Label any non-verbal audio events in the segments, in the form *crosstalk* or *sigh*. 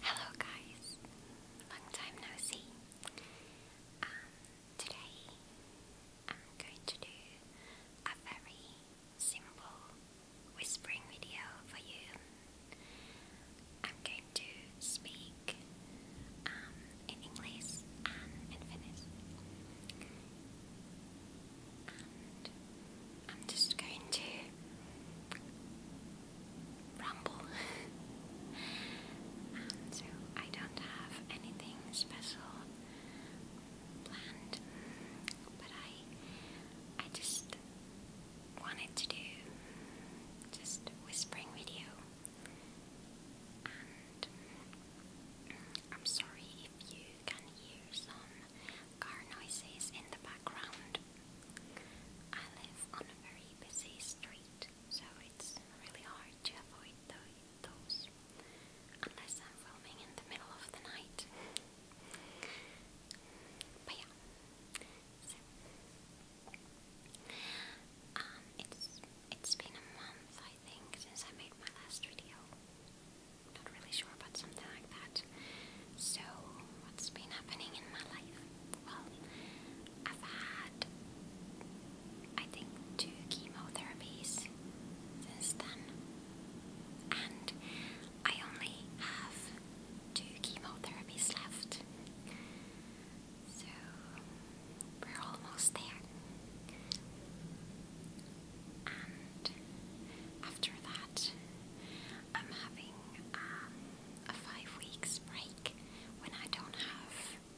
Hello guys, long time no see. Um, today I'm going to do a very simple whispering video for you. I'm going to speak um, in English and in Finnish. I'm just going to ramble. and I don't have anything special planned, but I I just wanted to do just whispering video. And I'm sorry if you can hear some car noises in the background. I live on a very busy street, so it's really hard to avoid those unless I'm filming in the middle of the night. But yeah, um, it's it's been a month I think since I made my last video. Not really sure, about something like that. So, what's been happening in my life? Well, I've had, I think, two chemotherapies since then. And I only have two chemotherapies left. So, we're almost there. And after that, I'm having um, a five weeks break when I don't have,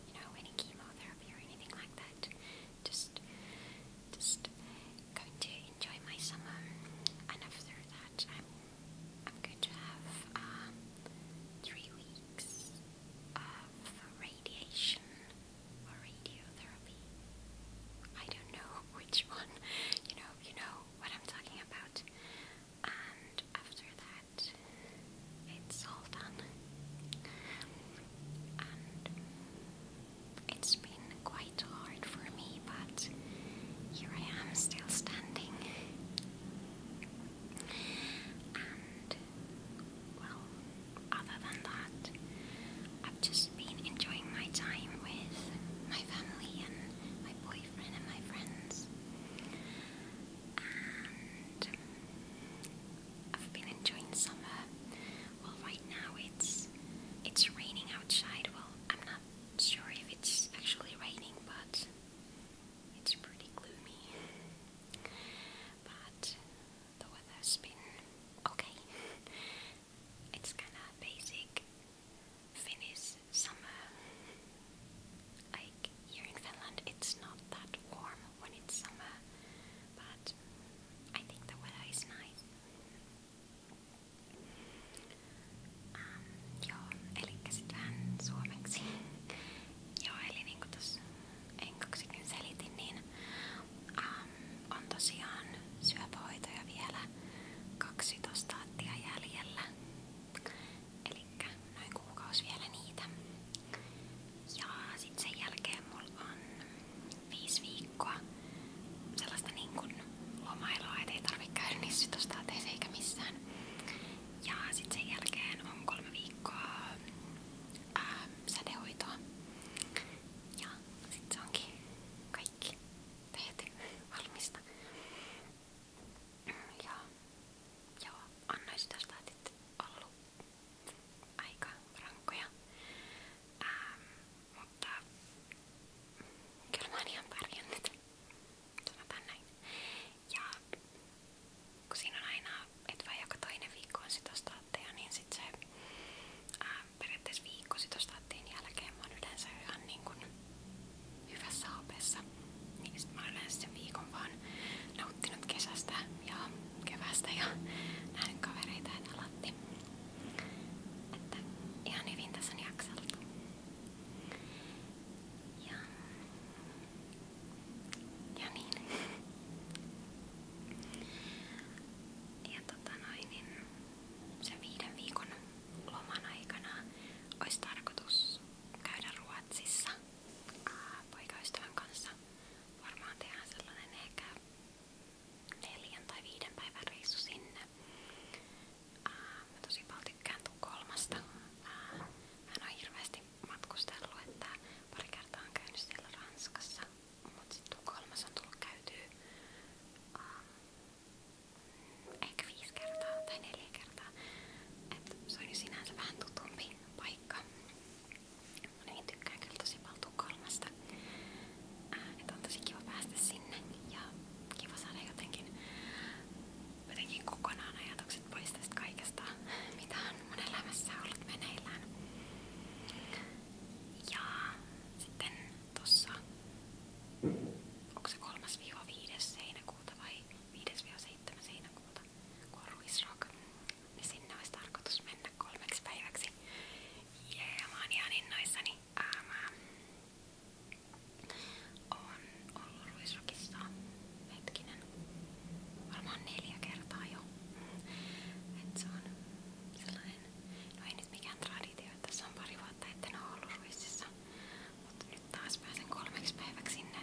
you know, any chemotherapy or anything like that. Just, just going to enjoy my summer, and after that, I'm, I'm going to have um, three weeks of radiation or radiotherapy. I don't know *laughs* which one, you know, you know what I'm talking about. And after that, it's all done. it's been quite hard for me, but here I am still standing. And well, other than that, I've just I've been enjoying my time with my family and my boyfriend and my friends. And I've been enjoying summer. Well, right now it's it's raining outside. Well, I'm not sure if it's actually raining, but it's pretty gloomy. But the weather's been okay. It's kind of basic Finnish summer. Like here in Finland, it's not that warm when it's summer, but I think the weather is nice. Um, joo, eli sitähän suomeksi. *laughs* joo, eli niin kuin tuossa enkaksikin selitin, niin ähm, on tosiaan syöpähoitoja vielä 12 lattia jäljellä. Elikkä noin kuukausi vielä niitä. Ja sit sen jälkeen mulla on viisi viikkoa sellaista niin kun lomailua, et ei tarvi käydä niissä sytostateissa eikä missään. Ja sit sen jälkeen on kolme viikkoa ää, sädehoitoa. Ja sit se onkin kaikki tehty valmista. Ja joo, annoisin tästä että aika rankkoja. Ähm, mutta kyllä mä Ja kun on aina, että vaikka joka toinen viikko on sit matteja, niin sit se ää, periaatteessa viikko sitostaattiin jälkeen mä oon yleensä ihan niin kun hyvässä hapessa. Niin sit mä oon yleensä sen viikon vaan nauttinut kesästä ja kevästä ja nähnyt kavereita ja latti. Että ihan hyvin tässä on jakseltu. Ja, ja niin. Ja tota noin, niin sen viiden viikon loman aikana tarkoitus käydä Ruotsissa poikaystävän kanssa. Varmaan tehdään sellainen ehkä neljän tai viiden päivän reissu sinne. Ää, mä tosi paljon tykkään Tukholmasta. Ää, että pari kertaa siellä Ranskassa mutta sitten Tukholmassa on tullut käytyä ähm, ehkä viisi kertaa tai neljä kertaa. Et se on jo sinänsä vähän tutumpi paikka. Mä niin tykkään kyllä tosi paljon Tukholmasta. Äh, et on tosi kiva päästä sinne ja kiva saada jotenkin, jotenkin kokonaan ajatukset pois tästä kaikesta, mitä on mun elämässä ollut meneillään. Ja sitten tossa, onko se 3-5. heinäkuuta vai 5-7. heinäkuuta, kun on Ruisrock, niin sinne olisi tarkoitus mennä kolmeksi päiväksi. Ja mä oon ihan innoissani. Ää, mä oon ollut Ruisrockissa hetkinen, varmaan neljä kertaa jo. Et se on sellainen semmonen, no ei nyt mikään traditio, että tässä on pari vuotta etten ole ollut ruississa, mutta nyt taas pääsen kolmeksi päiväksi sinne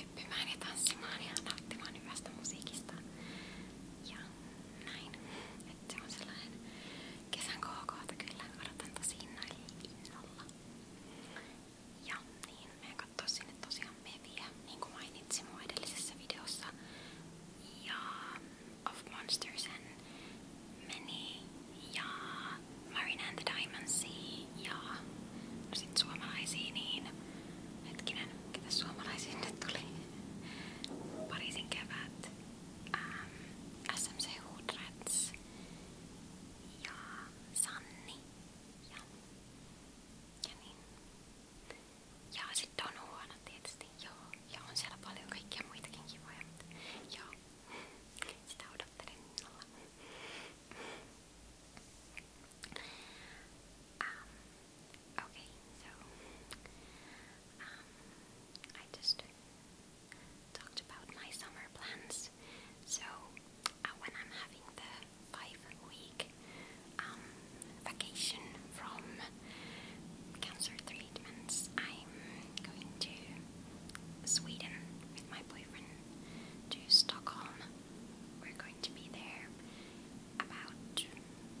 hyppimään ja tanssimaan ja nauttimaan hyvästä musiikista ja näin, että se on sellainen kesän KKta kyllä, odotan tosi innolla. Ja niin, meidän kattoo sinne tosiaan meviä, niin kuin mainitsin mun edellisessä videossa. Ja Of Monsters and Many ja Marina and the Diamond Sea ja no sit suomalaisia niin hetkinen, ketä suomalaisiin nyt tuli? Pariisin kevät, ähm, SMC Hoodrats ja Sanni ja, ja niin. Ja sitten on huono tietysti, joo. Ja on siellä paljon kaikkia muitakin kivoja, mutta joo. Sitä odottelen innolla. Um, okay, so um, I just talked about my summer plans. So uh, when I'm having the five week um, vacation from cancer treatments. I'm going to Sweden with my boyfriend to Stockholm. We're going to be there about,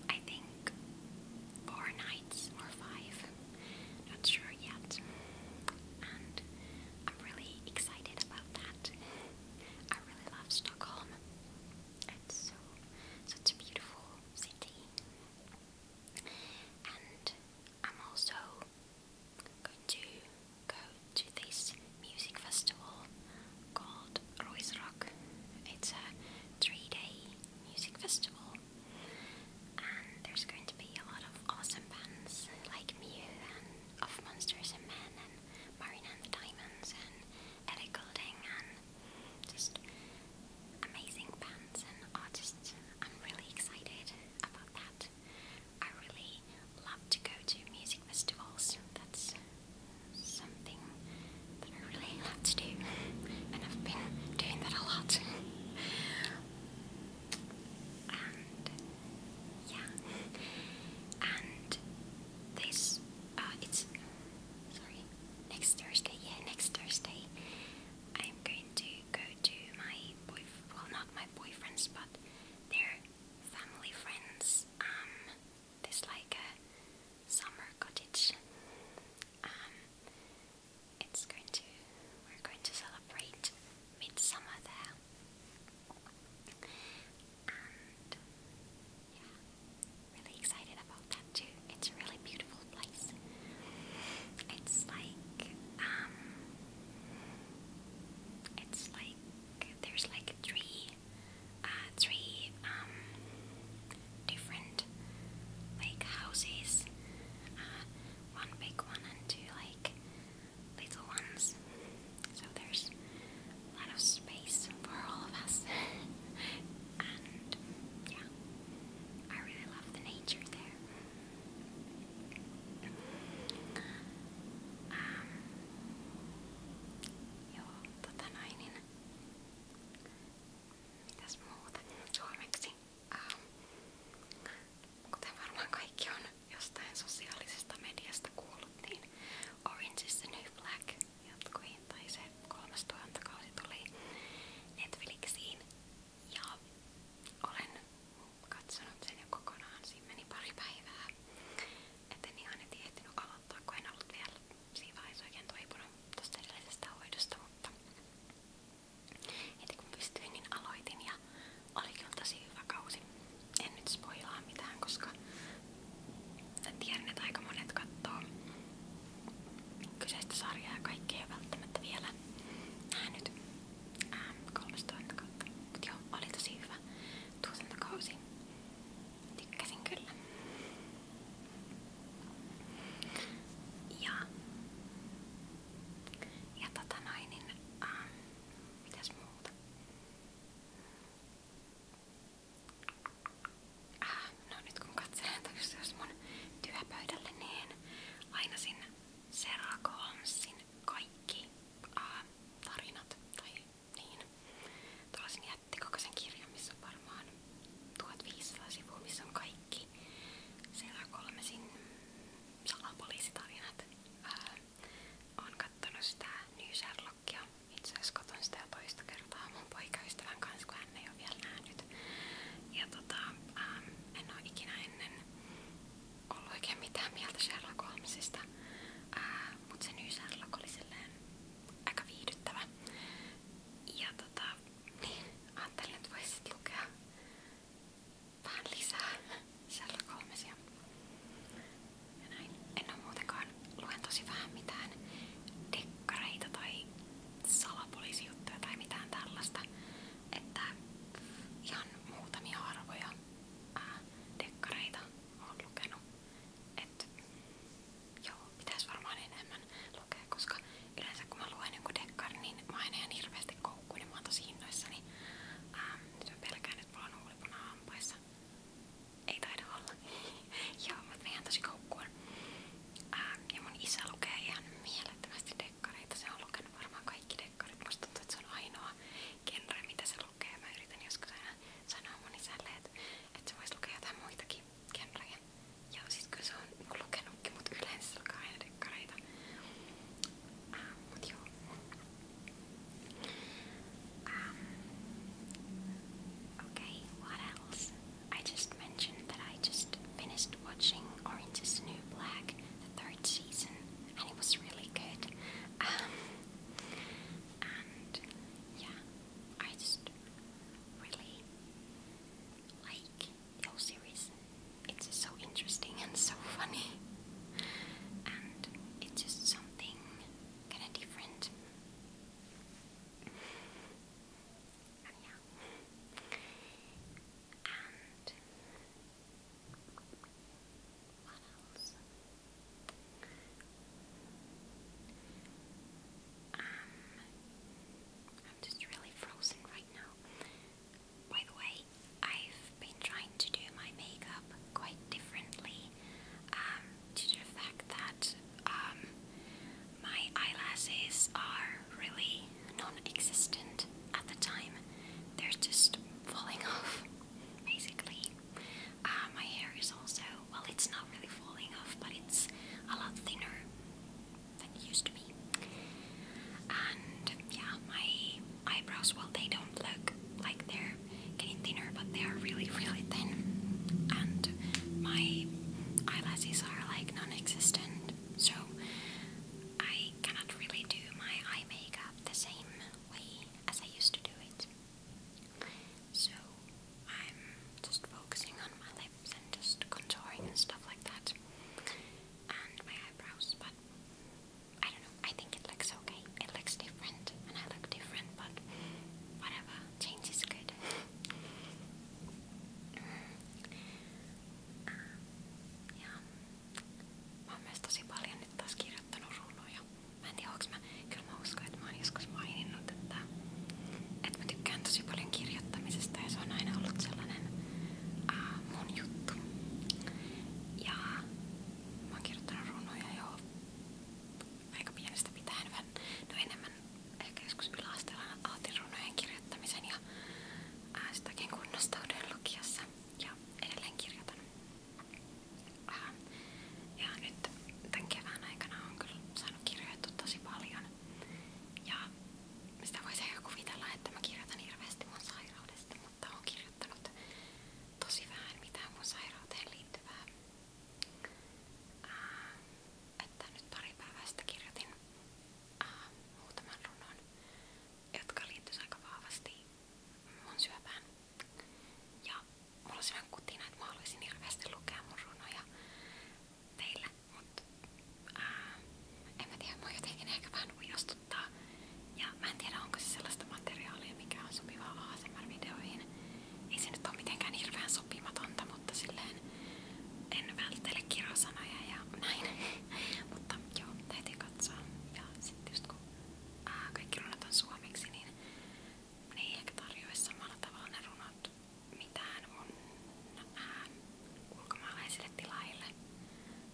I think, four nights or five. Not sure yet. And I'm really excited about that. I really love Stockholm. It's so such a beautiful city. And I'm also going to go to this music festival called Roy's Rock. It's a three day music festival, and there's going to be a lot of awesome bands like Mew and Of Monsters and Men and Marina and the Diamonds and Ellie and just amazing bands and artists. I'm really excited about that. I really love to go to music festivals. That's something that I really love to do, and I've been doing that a lot. and yeah, and this uh, it's sorry, next Thursday. Yeah, next Thursday, I'm going to go to my boyfriend. Well, not my boyfriend's, but their family friends. Um, there's like a uh, summer cottage. Um, it's going to. We're going to celebrate midsummer there. And yeah, really excited about that too. It's a really beautiful place. It's like, um, it's like there's like three, uh, three, um, different like houses. Uh, one big one and two like little ones so there's a lot of space for all of us. *laughs* and yeah, I really love the nature there. Um, joo, tota noin, niin mitäs muuta suomeksi? Um, kuten varmaan kaikki on jostain sosiaalisesta mediasta kuullut, niin Orange is the New Black jatkui, tai se kolmas tuotantokausi tuli Netflixiin ja olen katsonut sen jo kokonaan, siinä meni pari päivää, et en ihan heti ehtinyt aloittaa, kun en ollut vielä siinä vaiheessa oikein toipunut tosta edellisestä hoidosta, mutta heti kun pystyin, niin aloitin ja oli kyllä tosi hyvä kausi en nyt spoilaa mitään, koska tiedän, että aika monet kattoo kyseistä sarjaa ja kaikki ei ole välttämättä vielä nähnyt ää, ähm, 13 kautta. Mut joo, oli tosi hyvä tuotantokausi. Tykkäsin kyllä. Ja, ja tota noin, niin, ähm, mitäs muuta? Äh, no nyt kun katselen jos mun työpöydälle, niin aina sinne Serrako Hanssin kaikki äh, tarinat tai niin. Tuollaisen jättikokoisen kirjan, missä on varmaan 1500 sivua, missä on kaikki Serra Kolmesin salapoliisitarinat. Äh, Oon kattonut sitä New Sherlockia. Itse asiassa katon sitä jo toista kertaa mun poikaystävän kanssa, kun hän ei ole vielä nähnyt. Ja tota, ähm, en oo ikinä ennen ollut oikein mitään mieltä Sherlock Holmesista. Äh, mut se New Sherlock oli silleen aika viihdyttävä. Ja tota, niin, ajattelin, että voisit lukea vähän lisää Sherlock Holmesia. Ja näin. En oo muutenkaan, luen tosi vähän mitään dekkareita tai salapoliisijuttuja tai mitään tällaista. Että ihan muutamia harvoja ää, dekkareita oon lukenut. Et joo, pitäis varmaan enemmän lukea, koska yleensä kun mä luen jonkun dekkar, niin mä en ihan hirveästi koukkuun, niin mä oon tosi innoissani. Ää, nyt mä pelkään, että mä oon huulipuna hampaissa. Ei taida olla. *laughs* Joo, mutta ihan tosi koukkuun. Ää, ja mun isä lukee ihan mielettömästi dekkareita. Se on lukenut varmaan kaikki dekkarit. Musta tuntuu, että se on ainoa genre, mitä se lukee. Mä yritän joskus aina sanoa mun isälle, että, että se voisi lukea jotain muitakin genrejä. Joo, siis kyllä se on lukenutkin, mutta yleensä se lukee aina dekkareita. Um, okay, what else? I just mentioned that I just finished watching Orange is the New Black, the third season, and it was really good. Um, and yeah, I just really like the whole series. It's so interesting and so *laughs* funny and it's just something kind of different. And what else? Um, I'm just really frozen right now. By the way, I've been trying to do my makeup quite differently um, due to the fact that um, my eyelashes are really non existent at the time. They're just falling *laughs* off, basically. Uh, my hair is also, well, it's not really falling off, but it's a lot thinner than it used to be. And yeah, my eyebrows, well, they don't look like they're getting thinner, but they are really, really thin. And my eyelashes are like non existent, so I cannot really do my eye makeup the same way as I used to do it. So I'm just focusing on my lips and just contouring and stuff like that, and my eyebrows, but I don't know. I think it looks okay. It looks different, and I look different, but whatever. Change is good. Mm. Ah, ja mä oon myös tosi paljon nyt taas kirjoittanut rulluja. Mä en tiedä, onks mä... Kyllä mä uskon, että mä oon joskus maininnut, että, että mä tykkään tosi paljon kirjoittamisesta ja se on aina ollut sellainen uh, mun juttu. Ja mä oon kirjoittanut runoja jo aika pienestä pitäen vähän, no enemmän ehkä joskus yläasteella aloitin runojen kirjoittamisen ja ää, sitäkin kunnostauden lukiossa ja edelleen kirjoitan. Ää, ja nyt tän kevään aikana on kyllä saanut kirjoittu tosi paljon ja sitä voisi ehkä kuvitella, että mä kirjoitan hirveästi mun sairaudesta mutta olen kirjoittanut tosi vähän mitään mun sairauteen liittyvää. Ää, että nyt pari päivää sitten kirjoitin ää, muutaman runon, jotka liittyisivät aika vahvasti mun syöpään. Ja mulla olisi vähän kutina, että mä haluaisin hirveästi lukea mun runoja teille, mutta ää, en mä tiedä, mua jotenkin ehkä vähän huilostuttaa. Ja mä en tiedä, onko se sellaista materiaalia, mikä on sopivaa ASMR-videoihin. Ei se nyt ole mitenkään hirveän sopimatonta, mutta silleen en välttele kirosanoja ja näin. *laughs* mutta joo, täytyy katsoa. Ja sitten just kun ää, kaikki runot on suomeksi, niin ne ei ehkä tarjoa samalla tavalla ne runot mitään mun ää, ulkomaalaisille tilaille.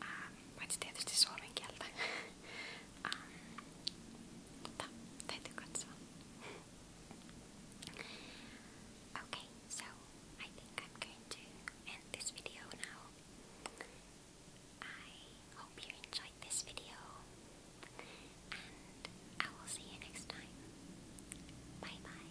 Ää, ma ei tietysti suomen okay, so I think I'm going to end this video now. I hope you enjoyed this video and I will see you next time. Bye bye.